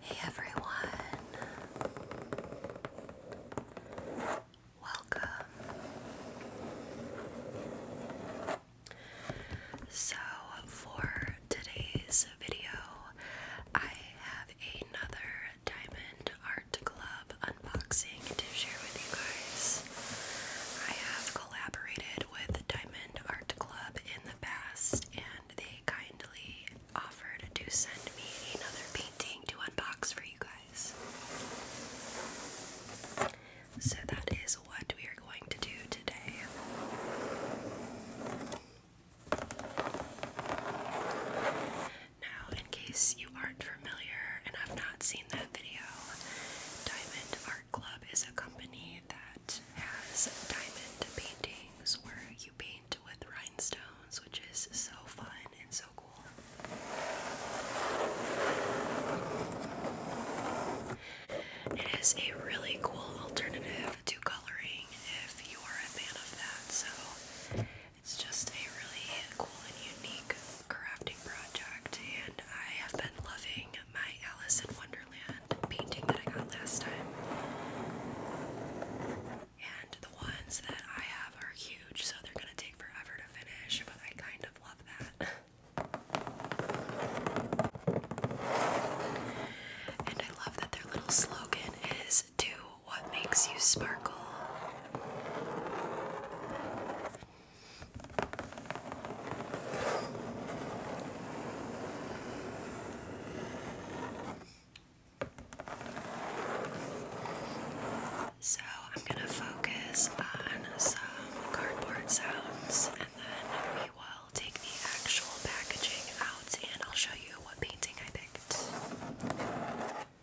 Hey everyone, welcome. So, for today's video, I have another diamond Art Club unboxing to share with you guys. I have collaborated with Diamond Art Club in the past, and they kindly offered to send me another painting to unbox for you guys. So that is what we are going to do today. Now, in case you aren't familiar and have not seen that video, Diamond Art Club is a company that has diamond paintings where you paint with rhinestones, which is so fun and so cool. It is a really cool alternative to coloring if you are a fan of that. So it's just a really cool and unique crafting project, and I have been loving my Alice in Wonderland painting that I got last time. And the ones that I have are huge, so they're gonna take forever to finish, but I kind of love that. And I love that their little slogan is "Do." what makes you sparkle? So, I'm going to focus on some cardboard sounds and then we will take the actual packaging out and I'll show you what painting I picked.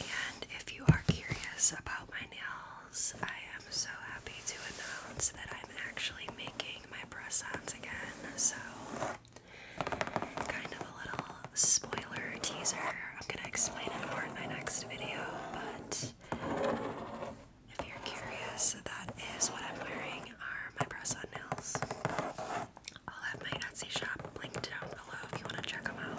And if you are curious about my nails, I am so happy to announce that I'm actually making my press ons again. So, kind of a little spoiler teaser. I'm going to explain it more in my next video, but if you're curious, that is what I'm wearing are my press on nails. I'll have my Etsy shop linked down below if you want to check them out.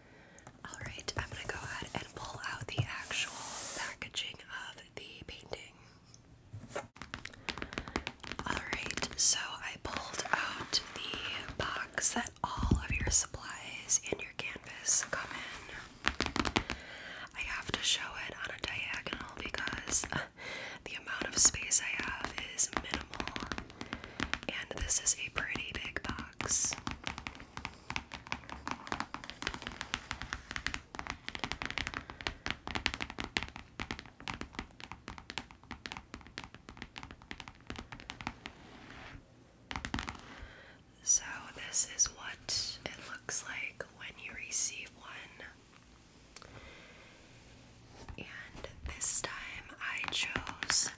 Alright, I'm gonna go ahead and pull out the actual packaging of the painting. Alright, so I pulled out the box that all of your supplies and your canvas come in. I have to show it on a diagonal because uh, the amount of space I have is minimal. And this is a pretty big box. So, this is what it looks like when you receive one. And this time I chose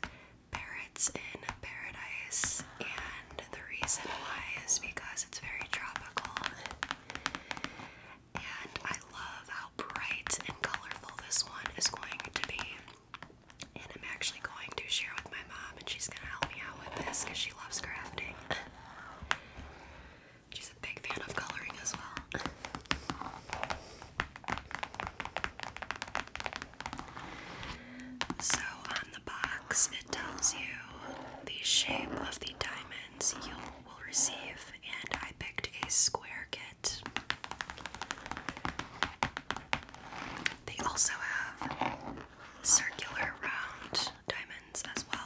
parrots in paradise, and the reason why is because it's very tropical. And I love how bright and colorful this one is going to be. And I'm actually going to share with my mom, and she's gonna help me out with this because she loves crafting. She's a big fan of coloring as well. So on the box, it tells you the shape of the diamonds you will receive, and I picked a square kit. They also have circular round diamonds as well.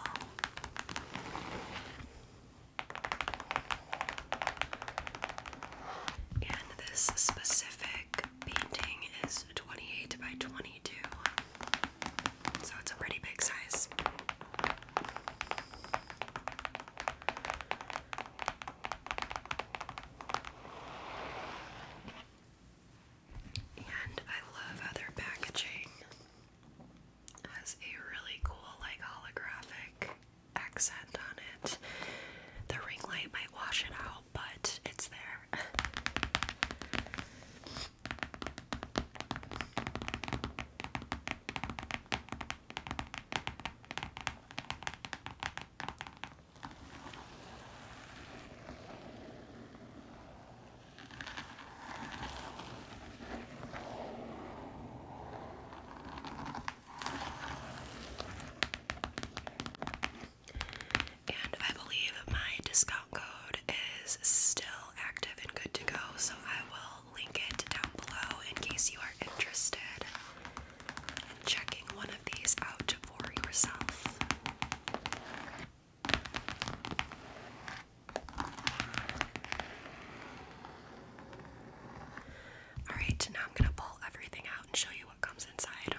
And this specific painting is 28 by 22, so it's a pretty big size. And I love how their packaging has a really cool, like, holographic accent on it. The ring light might wash it out, but it's there. And I believe my discount code is still active and good to go, so I will link it down below in case you are interested in checking one of these out for yourself. Alright, now I'm gonna pull everything out and show you what comes inside.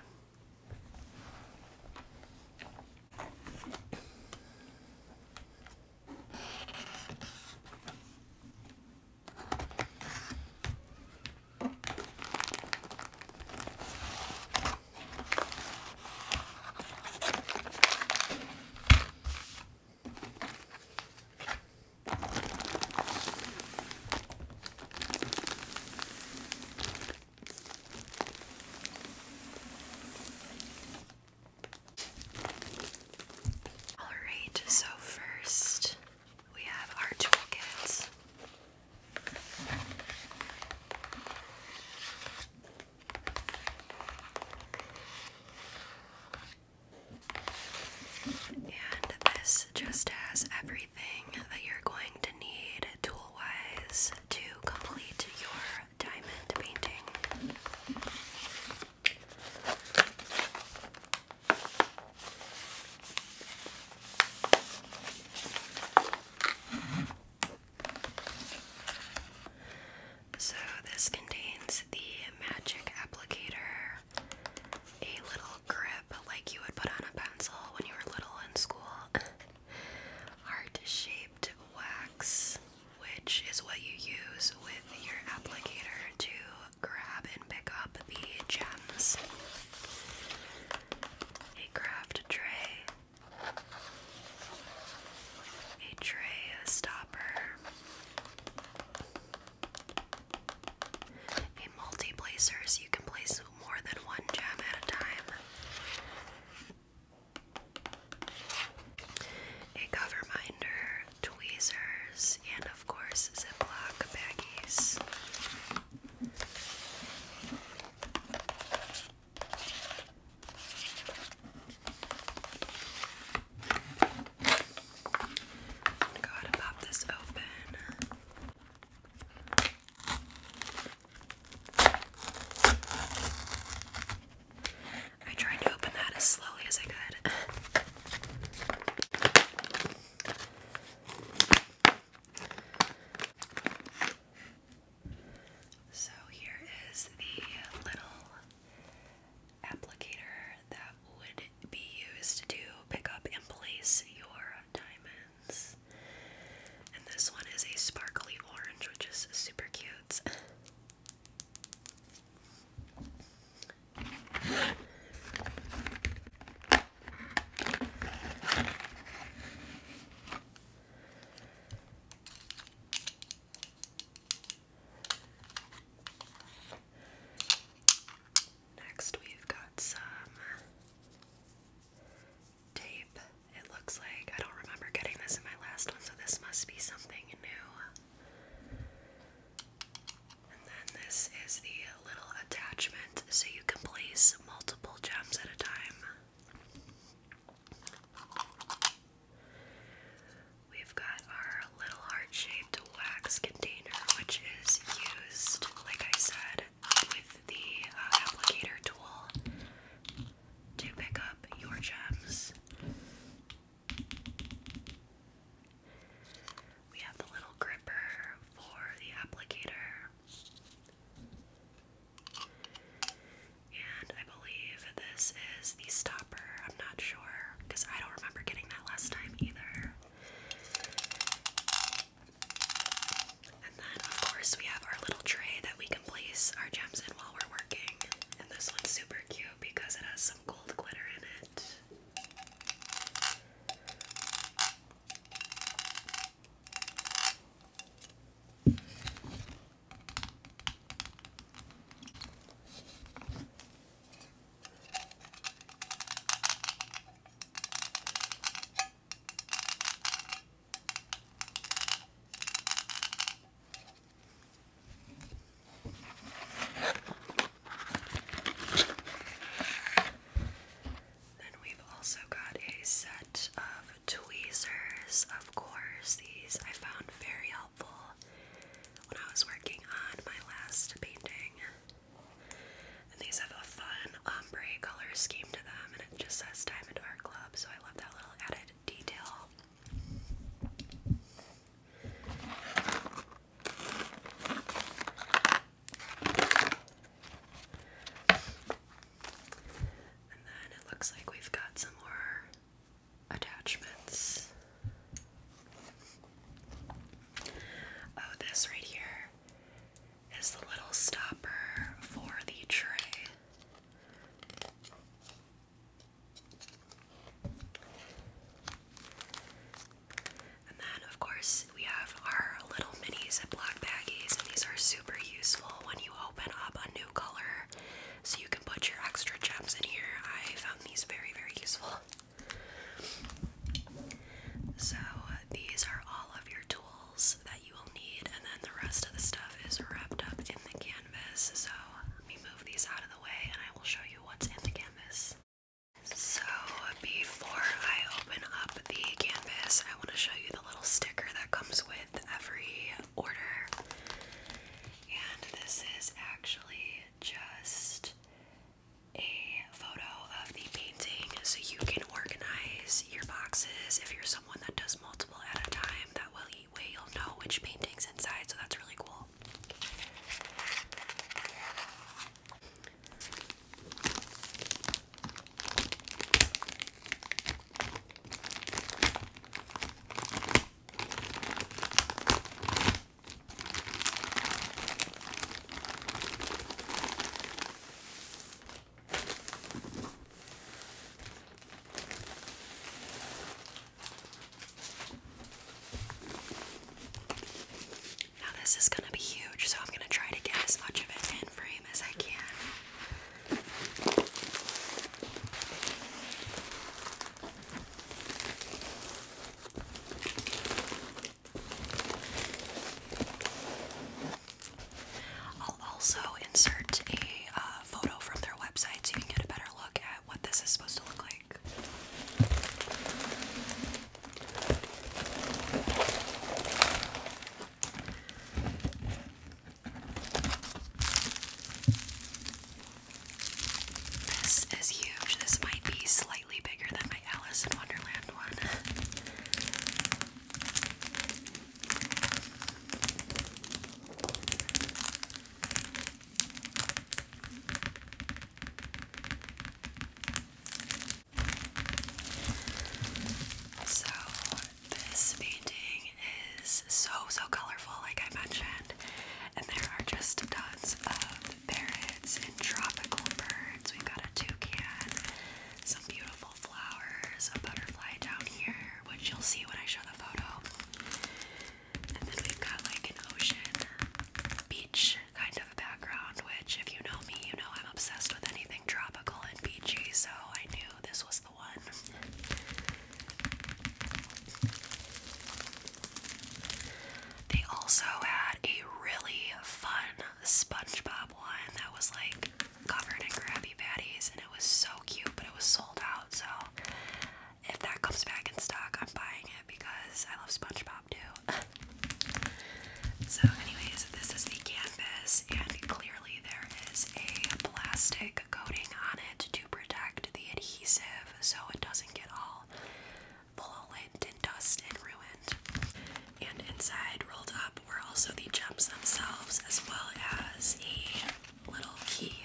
Alright, so first we have our toolkits. And this just has everything that you're going to need tool wise to complete your diamond painting. So, this contains the magic applicator, a little grip like you would put on a pencil when you were little in school. Heart shaped wax, which is what you use with your applicator to grab and pick up the gems. A craft tray, a tray stopper, in multi you can place more than one gem at a time. A cover minder, tweezers, and of course, Ziploc baggies. Go ahead and pop this open. I tried to open that as slowly as I could. So here is the little applicator that would be used to pick up and place your diamonds. And this one is a sparkly orange, which is super cute. Next, we've got some tape. It looks like I don't remember getting this in my last one, so this must be something new. And then this is the little attachment, so you can place multiple gems at a time. We've got our little heart-shaped wax container, which is used, like I said, with the uh, applicator tool to pick up your gems. We have the little gripper for the applicator. And I believe this is the stopper. I'm not sure because I don't remember getting that last time either. And then, of course, we have our little tray that we can place our gems in while we're working. And this one's super cute because it has some gold glitter in it. Then we've also got a set of tweezers, of course. These I found very helpful when I was working on my last painting. And these have a fun ombre color scheme to them, and it just says Diamond Art Club, so I love that little added detail. And then it looks like we've got some more attachments. Oh, this right here is the little stopper for the tray. And then, of course, we have our little mini Ziploc baggies, and these are super useful when you open up a new color so you can put your extra gems in here. I found these very, very useful. So these are all of your tools that you will need, and then the rest of the stuff is wrapped up in the canvas. So let me move these out of the way and I will show you what's in the canvas. So before I open up the canvas, I want to show you the little sticker that comes with every order. And this is actually just a photo of the painting so you can organize your boxes. If you're someone that does multiple at a time, that will way you'll know which painting's inside, so that's really cool. Now, this is going to be huge, so I'm going to try to get as much of it in frame as I can. I'll also insert a uh, photo from their website so you can get a better look at what this is supposed to look like. This is huge. This might be slightly bigger than my Alice in Wonderland one. So, this painting is so so colorful, like I mentioned. And there are just tons of parrots and tropical birds. We've got a toucan, some beautiful flowers, a butterfly down here, which you'll see when I show the photo. And then we've got like an ocean beach kind of a background, which if you know me, you know I'm obsessed with anything tropical and beachy, so I knew this was the one. They also had a really fun SpongeBob one that was like covered in Krabby Patties, and it was so cute, but it was sold out. So if that comes back in stock, I'm buying it because I love SpongeBob too. so, anyways, this is the canvas, and clearly there is a plastic coating on it to protect the adhesive so it doesn't get all all and dust ruined. And inside, rolled up, were also the jumps themselves, as well as a little key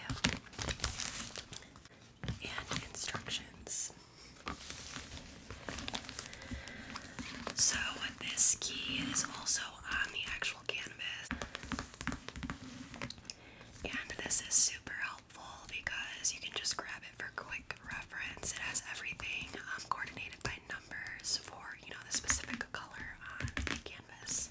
and instructions. So, this key is also on the actual canvas and this is super helpful because you can just grab it for quick reference. It has everything um, coordinated by numbers for you know the specific color on the canvas.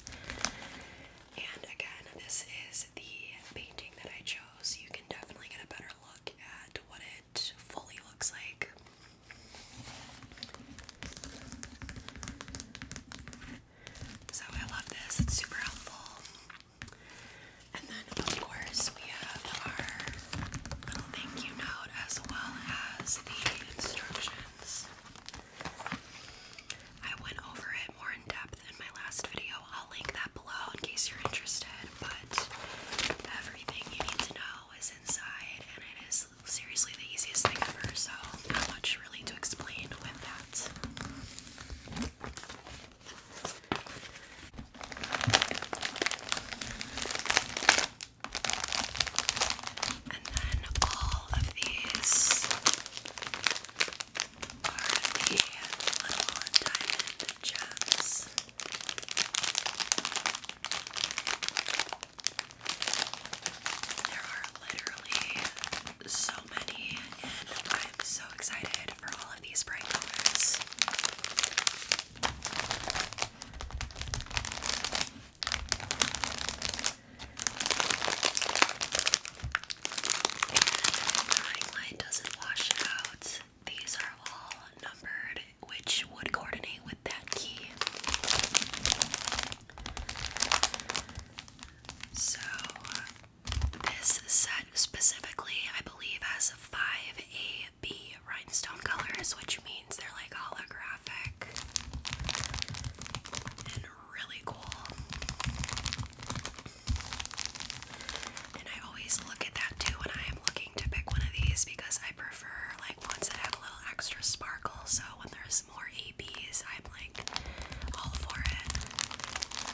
And again, this is the painting that I chose. You can definitely get a better look at what it fully looks like. So I love this, it's super helpful. And then, of course, we have our little thank you note as well as the instructions. I went over it more in depth in my last video. I'll link that below in case you're interested. But everything you need to know is inside, and it is seriously the easiest thing ever, so not much really to explain with that. And then all of these are the little diamond gems. There are literally so many, and I'm so excited for all of these bright colors. And the doesn't wash out. These are all numbered, which would coordinate with that key. So this set specifically, I believe, has five AB rhinestone colors, which means they're like holographic and really cool. And I always look at that too when I am looking to pick one of these because I prefer like ones that have a little extra sparkle. So when there's more ABs, I'm like all for it.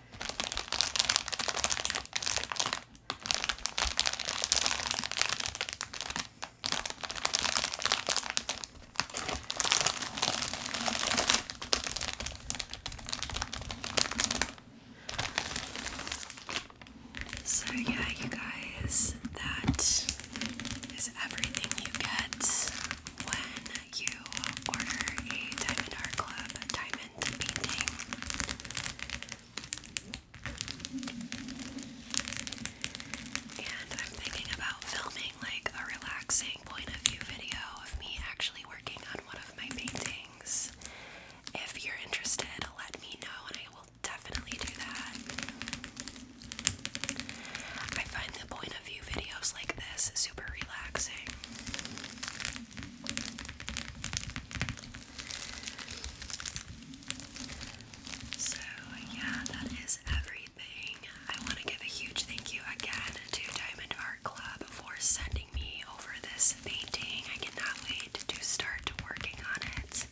So, yeah, you guys, that is everything you get you order a Diamond Art Club diamond painting. And I'm thinking about filming like a relaxing point of view video of me actually working on one of my paintings. If you're interested, let me know and I will definitely do that. I find the point a few videos like this super relaxing. So, yeah, that is everything. I want to give a huge thank you again to Diamond Art Club for sending me over this painting. I cannot wait to start working on it.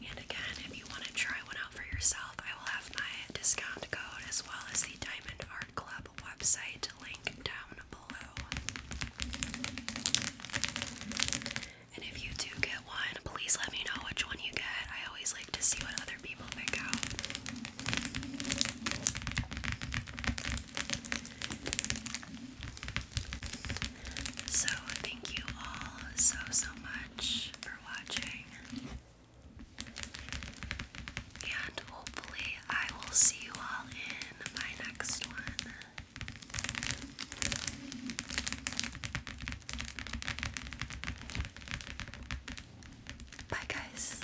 And again, if you want to try one out for yourself, I will have my discount code as well as the Diamond Art Club website link down below. And if you do get one, please let me know which one you get. I always like to see what other people pick out. So, thank you all so, so much for watching. And hopefully, I will see you all in my next one. Bye, guys.